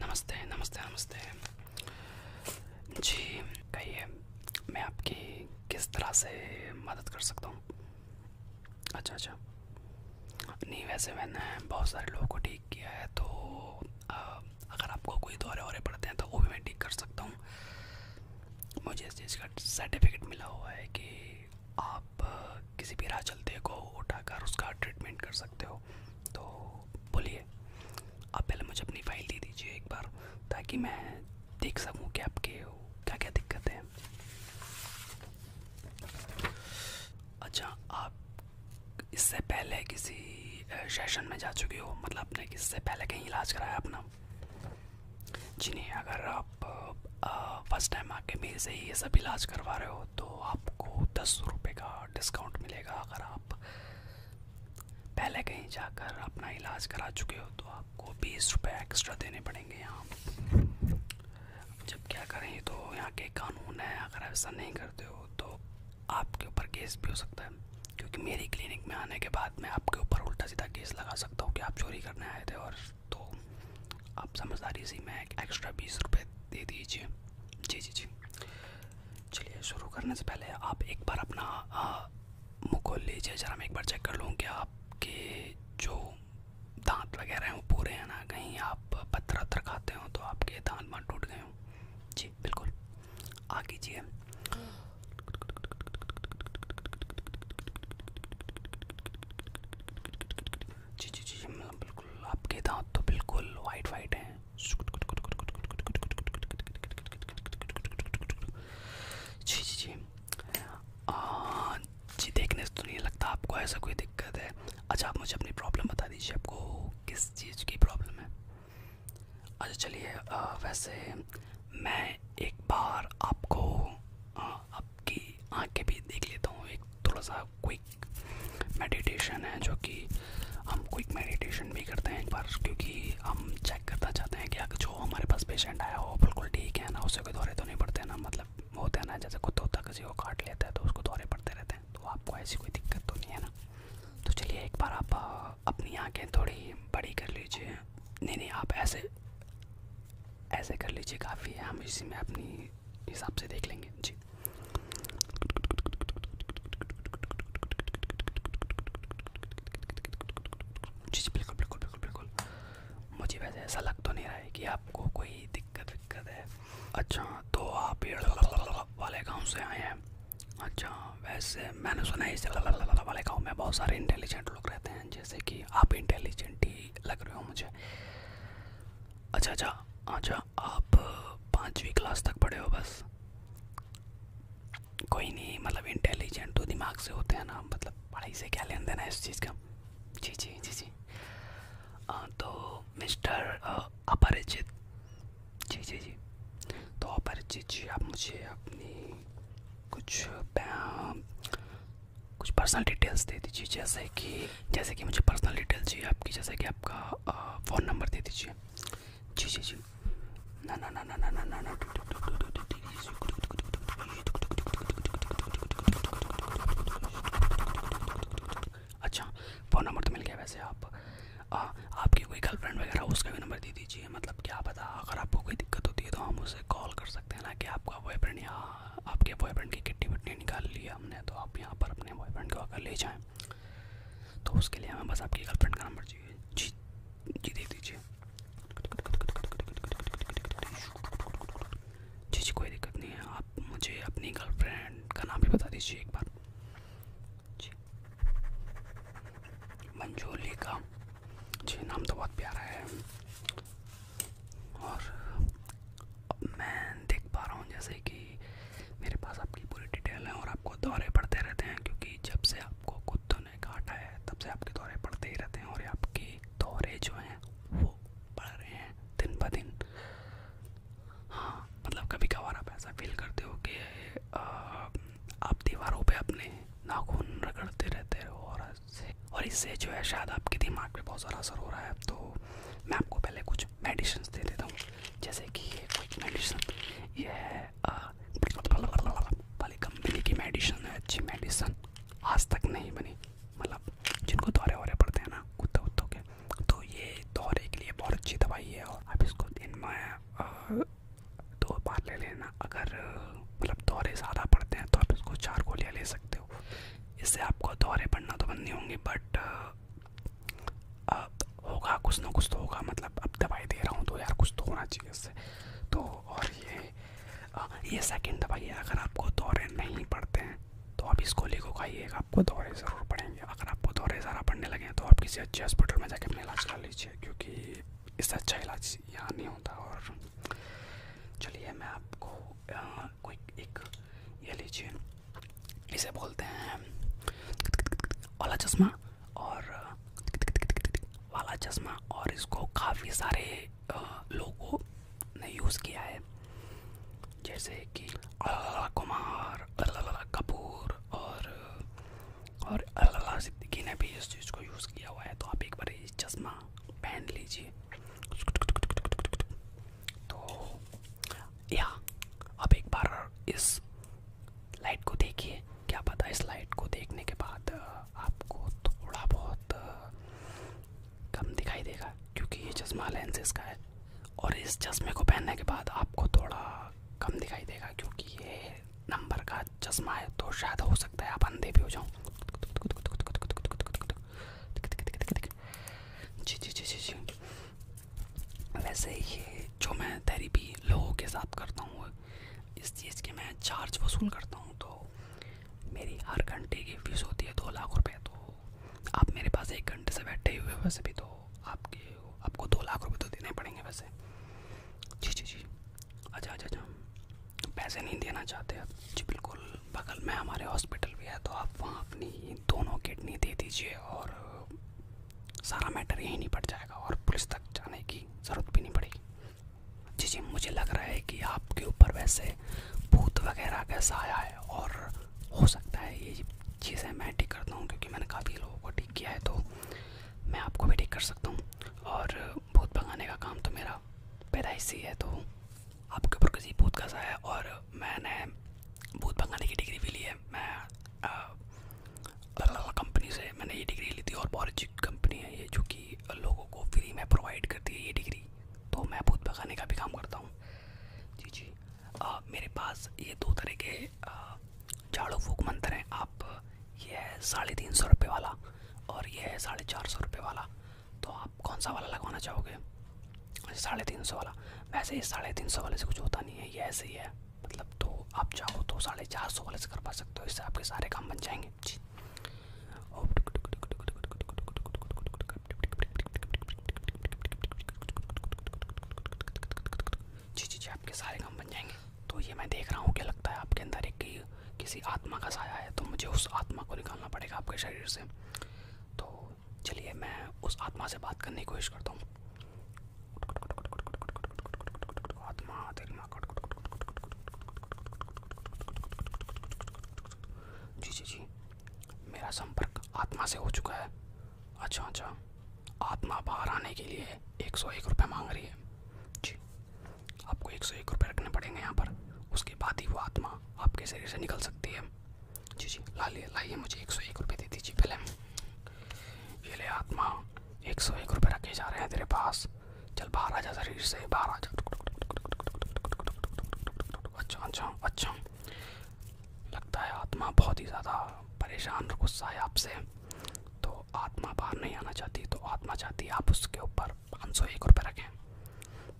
नमस्ते नमस्ते नमस्ते जी कहिए मैं आपकी किस तरह से मदद कर सकता हूँ अच्छा अच्छा नहीं वैसे मैंने बहुत सारे लोगों को ठीक किया है तो आ, अगर आपको कोई दौरे वौरे पड़ते हैं तो वो भी मैं ठीक कर सकता हूँ मुझे इस चीज़ का सर्टिफिकेट मिला हुआ है कि आप किसी भी राह चलते को उठाकर उसका ट्रीटमेंट कर सकते हो तो बोलिए आप पहले मुझे अपनी फ़ाइल दे दीजिए एक बार ताकि मैं देख सकूं कि आपके क्या क्या दिक्कत है अच्छा आप इससे पहले किसी सेशन में जा चुके हो मतलब आपने इससे पहले कहीं इलाज कराया अपना जी नहीं अगर आप फर्स्ट टाइम आके मेरे से ही ये सब इलाज करवा रहे हो तो आपको दस सौ रुपये का डिस्काउंट मिलेगा अगर आप पहले कहीं जाकर अपना इलाज करा चुके हो तो आपको बीस रुपये एक्स्ट्रा देने पड़ेंगे यहाँ जब क्या करें तो यहाँ के कानून है अगर ऐसा नहीं करते हो तो आपके ऊपर केस भी हो सकता है क्योंकि मेरी क्लिनिक में आने के बाद मैं आपके ऊपर उल्टा सीधा केस लगा सकता हूँ कि आप चोरी करने आए थे और तो आप समझदारी से मैं एक्स्ट्रा बीस रुपये दे दीजिए जी जी जी चलिए शुरू करने से पहले आप एक बार अपना मुँह खोल लीजिए ज़रा मैं एक बार चेक कर लूँ कि आपके जो दांत वगैरह हैं वो पूरे हैं ना कहीं आप पत्थर वत्थर खाते हो तो आपके दांत वाँत टूट गए हों जी बिल्कुल आ कीजिए जी जी जी मतलब बिल्कुल आपके दांत तो बिल्कुल वाइट वाइट हैं जी जी जी आ, जी देखने से तो नहीं लगता आपको ऐसा कोई दिक्कत है अच्छा आप मुझे अपनी प्रॉब्लम बता दीजिए आपको किस चीज़ की प्रॉब्लम है अच्छा चलिए वैसे मैं एक बार आपको आ, आपकी आंखें भी देख लेता हूँ एक थोड़ा सा क्विक मेडिटेशन है जो कि हम क्विक मेडिटेशन भी करते हैं एक बार क्योंकि हम चेक करना चाहते हैं कि जो हमारे पास पेशेंट आया हो बिल्कुल ठीक है ना उसे कोई दौरे तो नहीं पड़ते ना मतलब होते हैं ना जैसे कोई तोता किसी को काट लेता है तो उसको दौरे पड़ते रहते हैं तो आपको ऐसी कोई दिक्कत तो नहीं है ना तो चलिए एक बार आप अपनी आँखें थोड़ी बड़ी कर लीजिए नहीं नहीं आप ऐसे ऐसे कर लीजिए काफ़ी है हम इसी में अपनी हिसाब से देख लेंगे जी जी जी बिल्कुल बिल्कुल बिल्कुल बिल्कुल मुझे वैसे ऐसा लग तो नहीं रहा है कि आपको कोई दिक्कत विक्कत है अच्छा तो आप पेड़ वाले गांव से आए हैं अच्छा वैसे मैंने सुना है इस वाले गांव में बहुत सारे इंटेलिजेंट लोग रहते हैं जैसे कि आप इंटेलिजेंट ही लग रहे हो मुझे अच्छा अच्छा अच्छा आप पाँचवीं क्लास तक पढ़े हो बस कोई नहीं मतलब इंटेलिजेंट तो दिमाग से होते हैं ना मतलब पढ़ाई से क्या लेन देना है इस चीज़ का जी जी जी जी आ, तो मिस्टर अपरिचित जी जी जी तो अपरिचित जी आप मुझे अपनी कुछ कुछ पर्सनल डिटेल्स दे दीजिए जैसे कि जैसे कि मुझे पर्सनल डिटेल्स चाहिए आपकी जैसे कि आपका फ़ोन नंबर दे दीजिए अच्छा फ़ोन नंबर तो मिल गया वैसे आप आ, आपकी कोई गर्लफ्रेंड वगैरह उसका भी नंबर दे दीजिए मतलब क्या पता अगर आपको कोई दिक्कत होती है तो हम उसे कॉल कर सकते हैं ना कि आपका बॉयफ्रेंड या आपके बॉयफ्रेंड की किट्टी वट्टी निकाल ली हमने तो आप यहाँ पर अपने बॉयफ्रेंड को अगर ले जाएँ तो उसके लिए हमें बस आपकी गर्लफ्रेंड का नंबर चाहिए जी जी दे दीजिए जी जी कोई दिक्कत नहीं है आप मुझे अपनी गर्लफ्रेंड का नाम भी बता दीजिए एक बार जी मंजोली का जी नाम तो बहुत प्यारा है और अब मैं देख पा रहा हूँ जैसे कि मेरे पास आपकी पूरी डिटेल है और आपको दौरे पड़ते रहते हैं क्योंकि जब से आपको कुत्तों ने काटा है तब से आपके दौरे पड़ते ही रहते हैं और आपके दौरे जो हैं वो बढ़ रहे हैं दिन ब दिन हाँ मतलब कभी कभार आप ऐसा फील करते हो कि आप दीवारों पे अपने नाखून रगड़ते रहते हो और इससे जो है शायद आपके दिमाग पे बहुत ज़्यादा असर हो रहा है तो मैं आपको पहले कुछ मेडिसिन दे देता हूँ जैसे कि ये कुछ मेडिसिन ये है है भले कंपनी की मेडिसिन है अच्छी मेडिसिन आज तक नहीं बनी मतलब जिनको दौरे वौरे पड़ते हैं ना कुत्ता कुत्तों के तो ये दौरे के लिए बहुत अच्छी दवाई है और आप इसको दिन में दो बार ले लेना अगर मतलब दौरे ज़्यादा पड़ते हैं तो आप इसको चार गोलियाँ ले सकते हो इससे आपको दौरे पड़ना तो बंद नहीं होंगे बट होगा कुछ ना कुछ तो होगा मतलब अब दवाई दे रहा हूँ तो यार कुछ तो होना चाहिए इससे तो और ये आ, ये सेकेंड दवाई है अगर आपको दौरे नहीं पड़ते हैं तो आप इसको गोली को खाइएगा आपको दौरे ज़रूर पड़ेंगे अगर आपको दौरे ज़रा पड़ने लगे हैं तो आप किसी अच्छे हॉस्पिटल में जाके अपना इलाज करा लीजिए क्योंकि इससे अच्छा इलाज यहाँ नहीं होता और चलिए मैं आपको कोई एक ये लीजिए इसे बोलते हैं ओला चश्मा और वाला चश्मा और इसको काफ़ी सारे लोगों ने यूज़ किया है जैसे कि कुमार अल्ला कपूर और और अल्लाह सिद्दीकी ने भी इस चीज़ को यूज़ किया हुआ है तो आप एक बार ये चश्मा पहन लीजिए तो या आप एक बार इस लाइट को देखिए क्या पता इस लाइट को देखने के बाद आपको थोड़ा बहुत कम दिखाई देगा क्योंकि ये चश्मा लेंसेज का है और इस चश्मे को पहनने के बाद आपको थोड़ा कम दिखाई देगा क्योंकि ये नंबर का चश्मा है तो शायद हो सकता है आप अंधे भी हो जाओ जी जी जी जी जी वैसे ही जो मैं थेरेपी लोगों के साथ करता हूँ इस चीज़ के मैं चार्ज वसूल करता हूँ तो मेरी हर घंटे की फीस होती है दो लाख रुपए तो आप मेरे पास एक घंटे से बैठे हुए वैसे भी तो आपके आपको दो लाख रुपए तो देने पड़ेंगे वैसे जी जी जी अच्छा अच्छा अच्छा पैसे नहीं देना चाहते आप जी बिल्कुल बगल में हमारे हॉस्पिटल भी है तो आप वहाँ अपनी दोनों किडनी दे दीजिए और सारा मैटर यहीं नहीं पड़ जाएगा और पुलिस तक जाने की ज़रूरत भी नहीं पड़ेगी जी जी मुझे लग रहा है कि आपके ऊपर वैसे भूत वगैरह कैसा आया है और हो सकता है ये चीज़ें मैं ठीक करता हूँ क्योंकि मैंने काफ़ी लोगों को ठीक किया है तो मैं आपको भी ठीक कर सकता हूँ और भूत भगाने का काम तो मेरा पैदा पैदाइशी है तो आपके ऊपर किसी भूत का है और मैंने भूत भगाने की डिग्री भी ली है मैं कंपनी से मैंने ये डिग्री ली थी और बहुत अच्छी कंपनी है ये जो कि लोगों को फ्री में प्रोवाइड करती है ये डिग्री तो मैं भूत का भी काम करता हूँ जी जी मेरे पास ये दो तरह के झाड़ू फूक मंत्र हैं आप ये है साढ़े तीन सौ रुपये वाला और ये है साढ़े चार सौ रुपये वाला तो आप कौन सा वाला लगवाना चाहोगे साढ़े तीन सौ वाला वैसे इस साढ़े तीन सौ वाले से कुछ होता नहीं है ये ऐसे ही है मतलब तो आप चाहो तो साढ़े चार सौ वाले से करवा सकते हो इससे आपके सारे काम बन जाएंगे जी जी जी जी आपके सारे काम बन जाएंगे तो ये मैं देख रहा हूँ क्या लगता है आपके अंदर एक किसी आत्मा का साया है तो मुझे उस आत्मा को निकालना पड़ेगा आपके शरीर से तो चलिए मैं उस आत्मा से बात करने की कोशिश करता हूँ जी जी जी मेरा संपर्क आत्मा से हो चुका है अच्छा अच्छा आत्मा बाहर आने के लिए एक सौ एक रुपये मांग रही है जी आपको एक सौ एक रुपये रखने पड़ेंगे यहाँ पर उसके बाद ही वो आत्मा आपके शरीर से निकल सकती है जी जी ला लिए लाइए मुझे एक सौ एक रुपये दे दीजिए पहले ये ले आत्मा एक सौ एक रुपये रखे जा रहे हैं तेरे पास चल बाहर आ जा शरीर से बाहर आ जा अच्छा अच्छा अच्छा लगता है आत्मा बहुत ही ज़्यादा परेशान और गुस्सा है आपसे तो आत्मा बाहर नहीं आना चाहती तो आत्मा चाहती है आप उसके ऊपर पाँच सौ एक रुपये रखें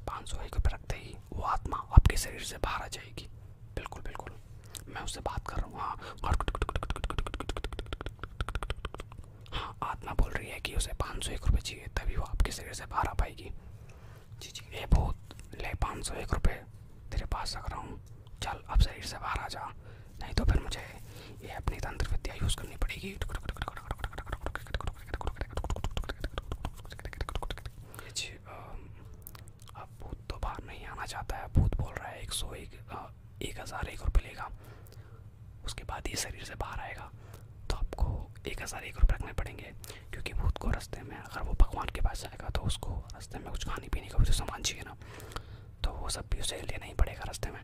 पाँच सौ एक रुपये रखते ही वो आत्मा आपके शरीर से बाहर आ जाएगी बिल्कुल बिल्कुल मैं उससे बात कर रहा हूँ हाँ हाँ आत्मा बोल रही है कि उसे पाँच सौ एक रुपये चाहिए तभी वो आपके शरीर से बाहर आ पाएगी जी जी ये बहुत ले पाँच सौ एक रुपये तेरे पास रख रहा हूँ चल अब शरीर से बाहर आ जा नहीं तो फिर मुझे ये अपनी तंत्र विद्या यूज़ करनी पड़ेगी जी अब भूत तो बाहर नहीं आना चाहता है भूत बोल रहा है एक सौ एक एक हज़ार एक रुपये लेगा उसके बाद ये शरीर से बाहर आएगा तो आपको एक हज़ार एक रुपये रखने पड़ेंगे क्योंकि भूत को रास्ते में अगर वो भगवान के पास जाएगा तो उसको रास्ते में कुछ खाने पीने का भी तो सामान चाहिए ना तो वो सब भी उसे लेना ही पड़ेगा रास्ते में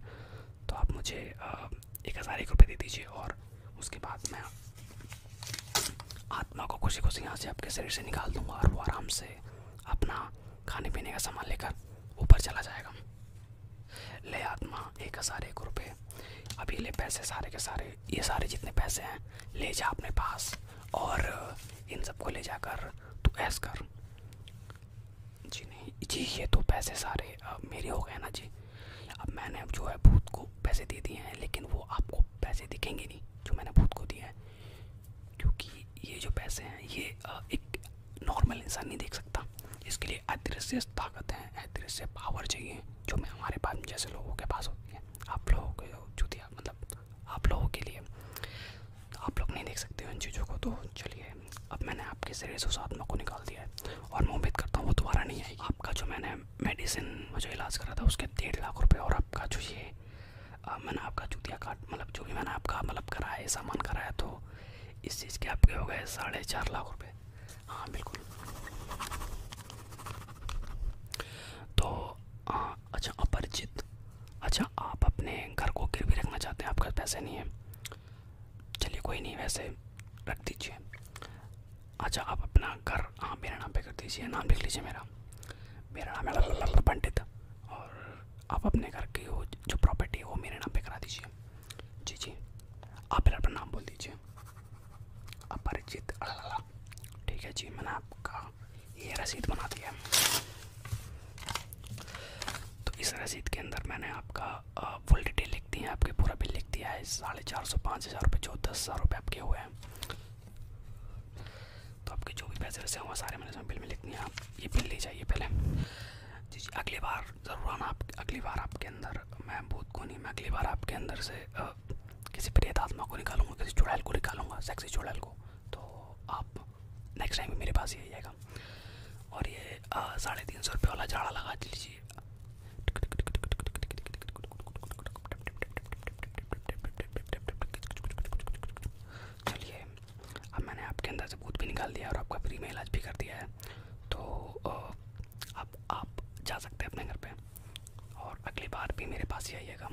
तो आप मुझे एक हज़ार एक रुपये दे दीजिए और उसके बाद मैं आत्मा को खुशी खुशी यहाँ से आपके शरीर से निकाल दूँगा और वो आराम से अपना खाने पीने का सामान लेकर ऊपर चला जाएगा ले आत्मा एक हज़ार एक रुपये अभी ले पैसे सारे के सारे ये सारे जितने पैसे हैं ले जा अपने पास और इन सबको ले जाकर तू ऐस कर जी नहीं जी ये तो पैसे सारे मेरे हो गए ना जी अब मैंने अब जो है भूत को पैसे दे दिए हैं लेकिन वो आपको पैसे दिखेंगे नहीं जो मैंने भूत को दिए हैं क्योंकि ये जो पैसे हैं ये एक नॉर्मल इंसान नहीं देख सकता इसके लिए अदृश्य ताकत है अदृश्य पावर चाहिए जो मैं हमारे पास जैसे लोगों के पास होती है आप लोगों के जुतिया मतलब आप लोगों के लिए आप लोग नहीं देख सकते उन चीज़ों को तो चलिए अब मैंने आपके शरीर से उस को निकाल दिया है और मैं उम्मीद करता हूँ वो दोबारा नहीं आएगी आपका जो मैंने मेडिसिन जो इलाज करा था उसके डेढ़ लाख रुपये और आपका जो ये मैंने आपका जूतिया काट मतलब जो भी मैंने आपका मतलब कराया सामान कराया तो इस चीज़ के आपके हो गए साढ़े चार लाख रुपए हाँ बिल्कुल तो हाँ अच्छा अपरिचित अच्छा आप अपने घर को गिर भी रखना चाहते हैं आपके पैसे नहीं है चलिए कोई नहीं वैसे रख दीजिए अच्छा आप अपना घर हाँ मेरे नाम पे कर दीजिए नाम लिख लीजिए मेरा मेरा नाम है पंडित और आप अपने घर की जो प्रॉपर्टी है वो मेरे नाम पर करा दीजिए जी जी आप फिर अपना नाम बोल दीजिए अपरिचित अड़ला ठीक है जी मैंने आपका ये रसीद बना दिया तो इस रसीद के अंदर मैंने आपका फुल डिटेल लिख दी है आपके पूरा बिल लिख दिया है साढ़े चार सौ पाँच हज़ार रुपये जो दस हज़ार रुपये आपके हुए हैं तो आपके जो भी पैसे वैसे हुए सारे मैंने इसमें बिल में लिख दिए आप ये बिल ले जाइए पहले जी जी अगली बार जरूर आप अगली बार आपके अंदर मैं भूत को नहीं मैं अगली बार आपके अंदर से आ, किसी प्रेत आत्मा को निकालूंगा किसी चुड़ैल को निकालूंगा सेक्सी चुड़ैल को तो आप नेक्स्ट टाइम मेरे पास ही आइएगा और ये साढ़े तीन सौ रुपये वाला झाड़ा लगा लीजिए चलिए अब मैंने आपके अंदर से बूथ भी निकाल दिया और आपका फ्री में इलाज भी कर दिया है तो अब आप जा सकते हैं अपने घर पे और अगली बार भी मेरे पास ही आइएगा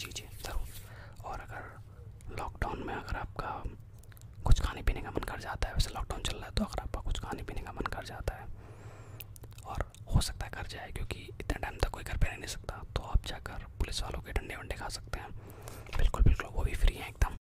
जी जी ज़रूर और अगर लॉकडाउन में अगर आपका कुछ खाने पीने का मन कर जाता है वैसे लॉकडाउन चल रहा है तो अगर आपका कुछ खाने पीने का मन कर जाता है और हो सकता है घर जाए क्योंकि इतने टाइम तक कोई घर पर रह नहीं सकता तो आप जाकर पुलिस वालों के डंडे वंडे खा सकते हैं बिल्कुल बिल्कुल वो भी फ्री हैं एकदम